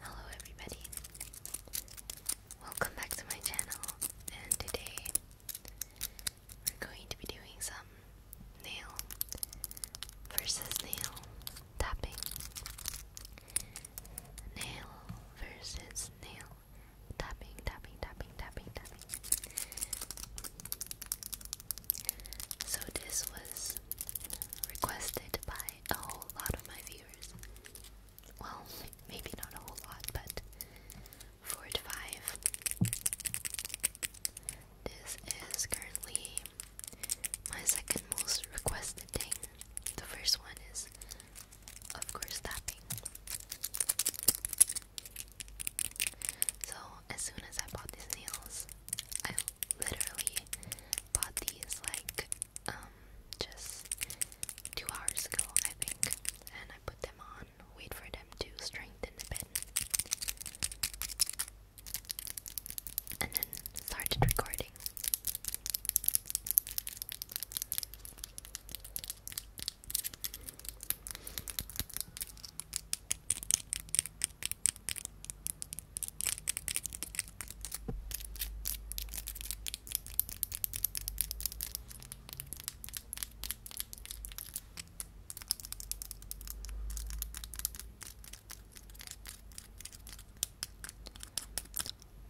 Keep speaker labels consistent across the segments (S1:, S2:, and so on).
S1: Hello everybody. Welcome back to my channel and today we're going to be doing some nail versus nail tapping. Nail versus nail tapping, tapping, tapping, tapping, tapping. So this was requested by a whole lot of my viewers. Well, maybe not a whole lot, but four to five. This is currently my second most requested thing. The first one is, of course, tapping. So, as soon as I bought these nails, I literally bought these like um just two hours ago I think and I put them on wait for them to strengthen a bit and then started recording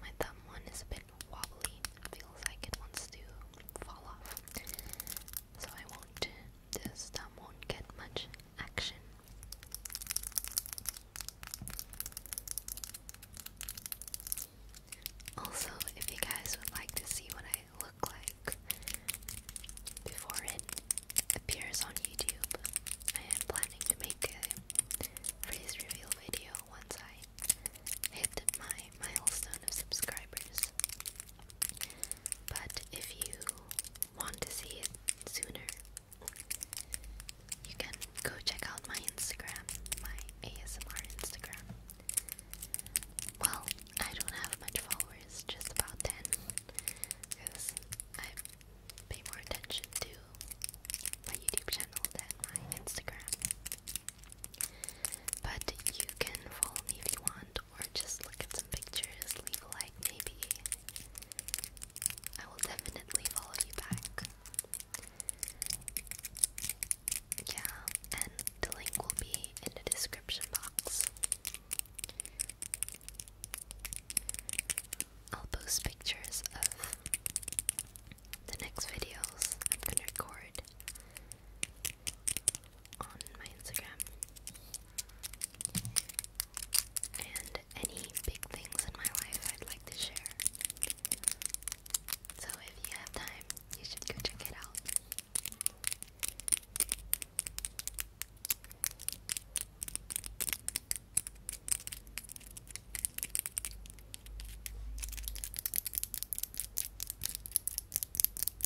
S1: my thumb one is a bit wobbly. feels like it wants to fall off. So I won't, this thumb won't get much action. Also, if you guys would like to see what I look like before it appears on YouTube, I am planning to make a face reveal video once I hit my milestone of subscribers. But if you want to see it sooner, you can go check out my Instagram, my ASMR Instagram. Well, I don't have much followers, just about 10, I pay more attention to my YouTube channel than my Instagram. But you can follow me if you want, or just look at some pictures, leave a like maybe. I will definitely follow you back. Yeah, and the link will be in the description box. I'll post pictures of the next videos I'm gonna record on my Instagram. And any big things in my life I'd like to share. So if you have time, you should go check it out.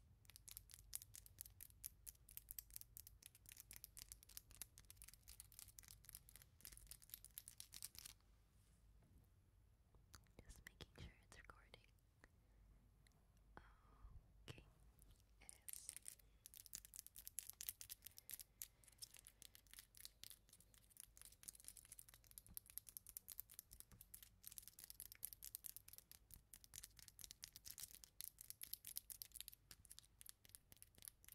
S1: Just making sure it's recording. Okay, it is. Let's do some slower tapping. More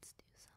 S1: paste and slower.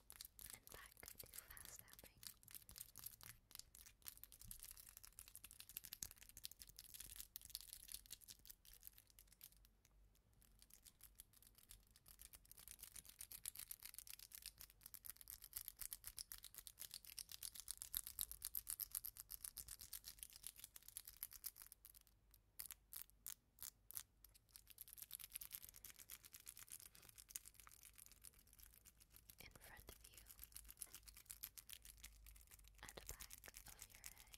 S1: and back to fast tapping in front of you and the back of your head. On your right side, and on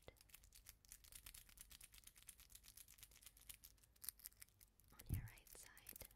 S1: your left,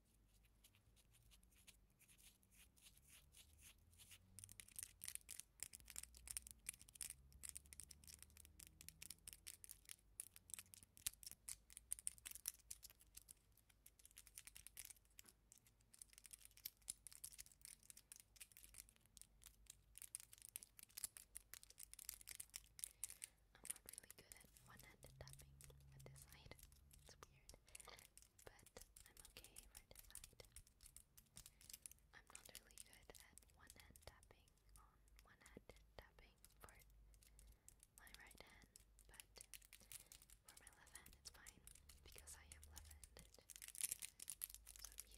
S1: I'm not really good at one-handed tapping at this side. It's weird but I'm okay right side. I'm not really good at one hand tapping on one hand tapping for my right hand, but for my left hand it's fine because I am left handed. So I'm used to it.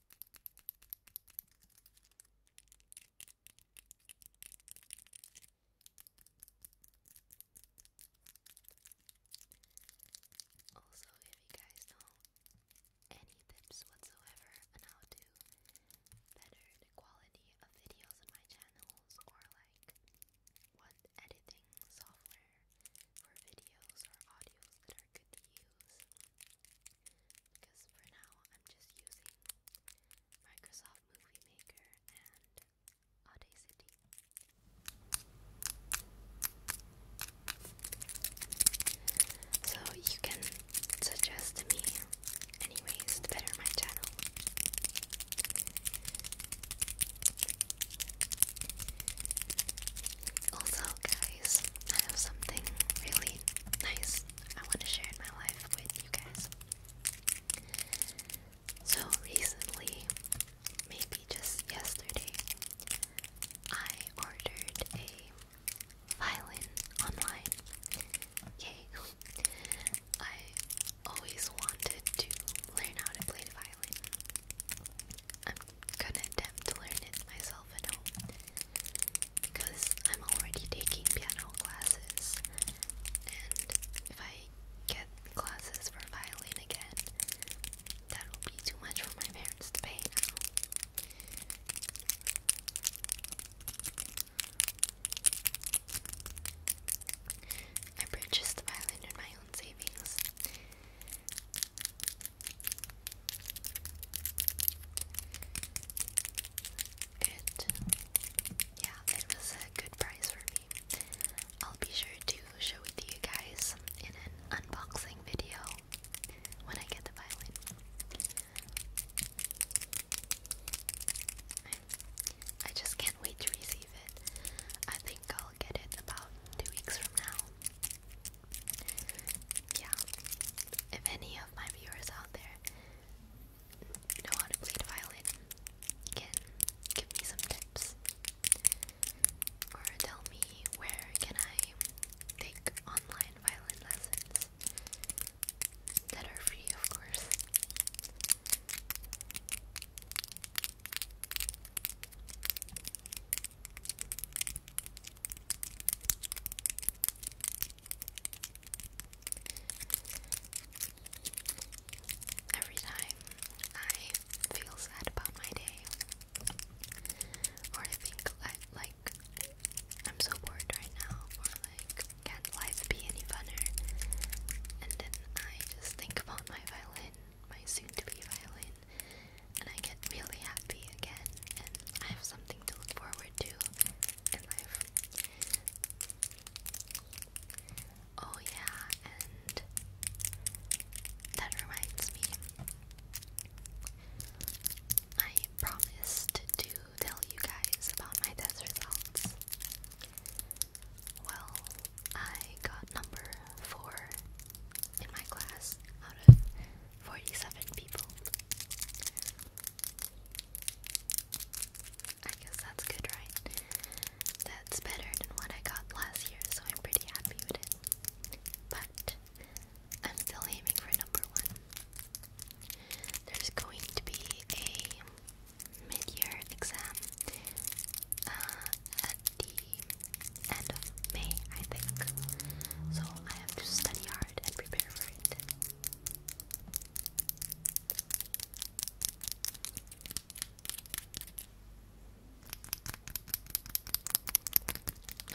S1: Also, if you guys know any tips whatsoever on how to better the quality of videos on my channels, or like what editing software for videos or audios that are good to use, because for now I'm just using Microsoft Movie Maker and Audacity. So you can suggest to me any to better my channel. Also, guys, I have something really nice I want to share in my life with you guys. So recently, maybe just yesterday, I ordered a violin online. Yay! I always wanted to learn how to play the violin. I'm gonna attempt to learn it myself at home because I'm already taking piano classes, and if I get classes for violin again, that will be too much for my parents to pay now. I purchased the violin in my own savings. It, yeah, it was a good price for me. I'll be sure to show it to you guys in an unboxing video when I get the violin. I just can't wait to receive it. I think I'll get it about two weeks from now yeah, if any of my viewers out there know how to play violin, can give me some tips or tell me where can I take online violin lessons that are free, of course. Every time I feel sad about my day, or I think like I'm so bored right now, or like can life be any funner, and then I just think about my violin, my soon-to-be violin, and I get really happy again, and I have something to look forward to in life. Oh, yeah, and that reminds me, I promised to tell you guys about my test results. Well, I got number four in my class out of 47 people. I guess that's good, right? That's better than what I got last year, so I'm pretty happy with it. But I'm still aiming for number one. There's going to be a mid year exam uh, at the end of May, I think. So I have to study hard and prepare for it.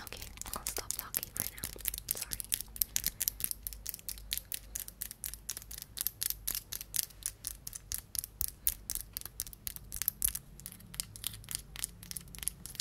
S1: Okay, I'll stop talking for now. Sorry.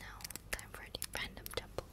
S1: Now, time for the random jumble.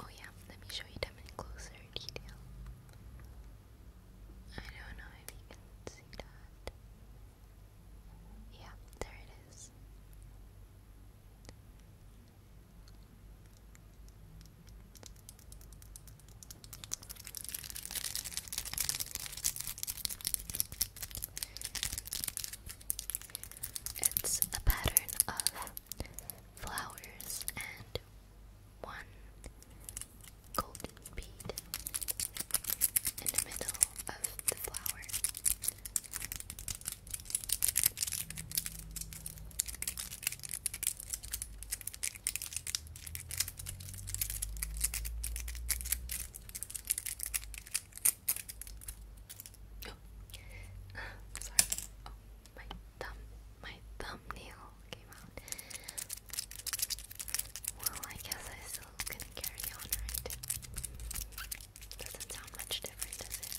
S1: Oh yeah, let me show you them in closer detail. I don't know if you can see that. Yeah, there it is. It's a pattern of flowers and one golden bead in the middle of the flower. Oh. Uh, sorry. Oh, my thumb, my thumbnail came out. Well, I guess I still going carry on, right? Doesn't sound much different, does it?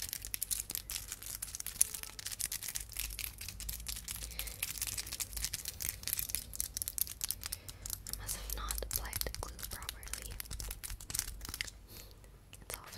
S1: must have not applied the glue properly. It's off now.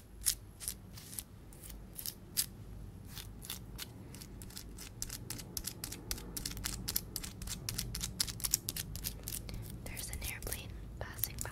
S1: There's an airplane passing by.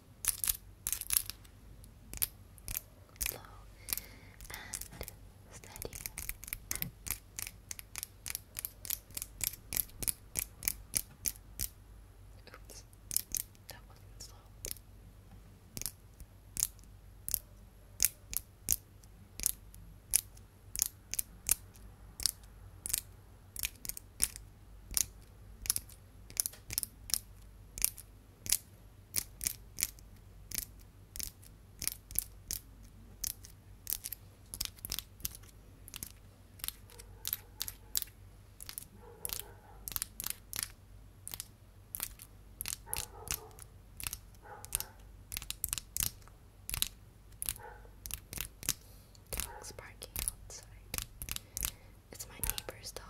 S1: slow and steady. Oops, that wasn't slow. Good. Dogs barking outside. It's my neighbor's dog.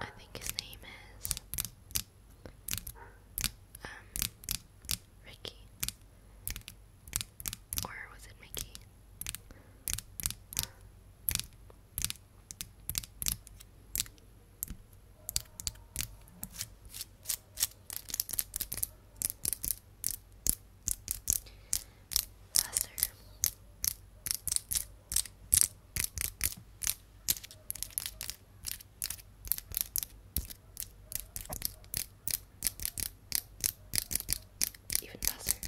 S1: I think his name is um, Ricky. Or was it Mickey? faster. Even faster.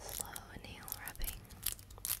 S1: Slow nail rubbing. Good.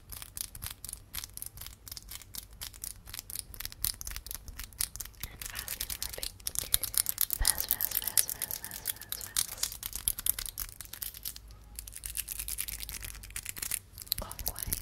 S1: And fast and rubbing. Fast, fast, fast, fast, fast, fast, fast. Clockwise.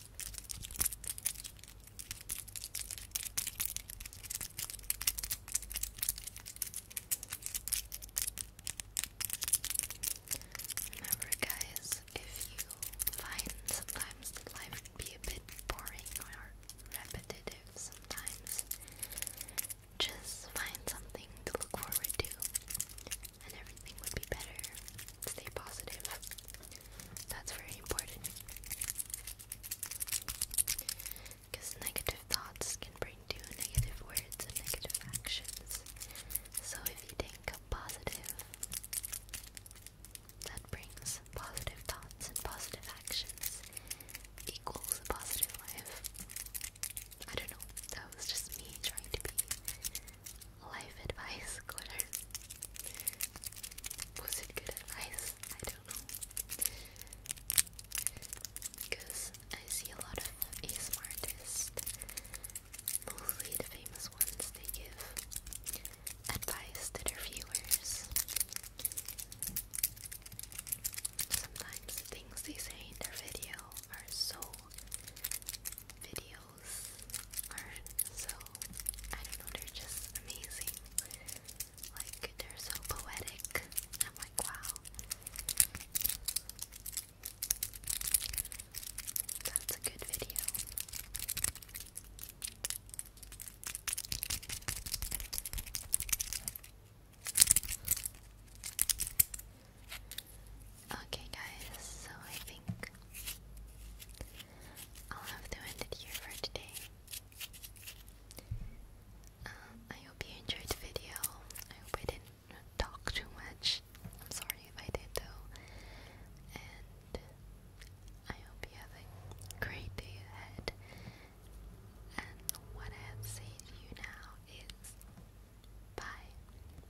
S1: Remember, guys, if you find sometimes life be a bit boring or repetitive, sometimes just find something to look forward to and everything would be better. Stay positive. That's very important. Because negative thoughts can bring to negative words and negative actions. So if you think positive, that brings positive thoughts and positive actions equals a positive life. I don't know, that was just me trying to be life advice glitter. Was it good advice? I don't know. Because I see a lot of ASMR artists, mostly the famous ones, they give advice to their viewers. Sometimes things they say in their video are so video nails are so, I don't know, they're just amazing. Like, they're so poetic. I'm like, wow. That's a good video. Okay, guys, so I think I'll have to end it here for today. Um, I hope you enjoyed the video. I hope I didn't talk too much. I'm sorry if I did, though. And I hope you have a great day ahead. And what I have to say to you now is bye.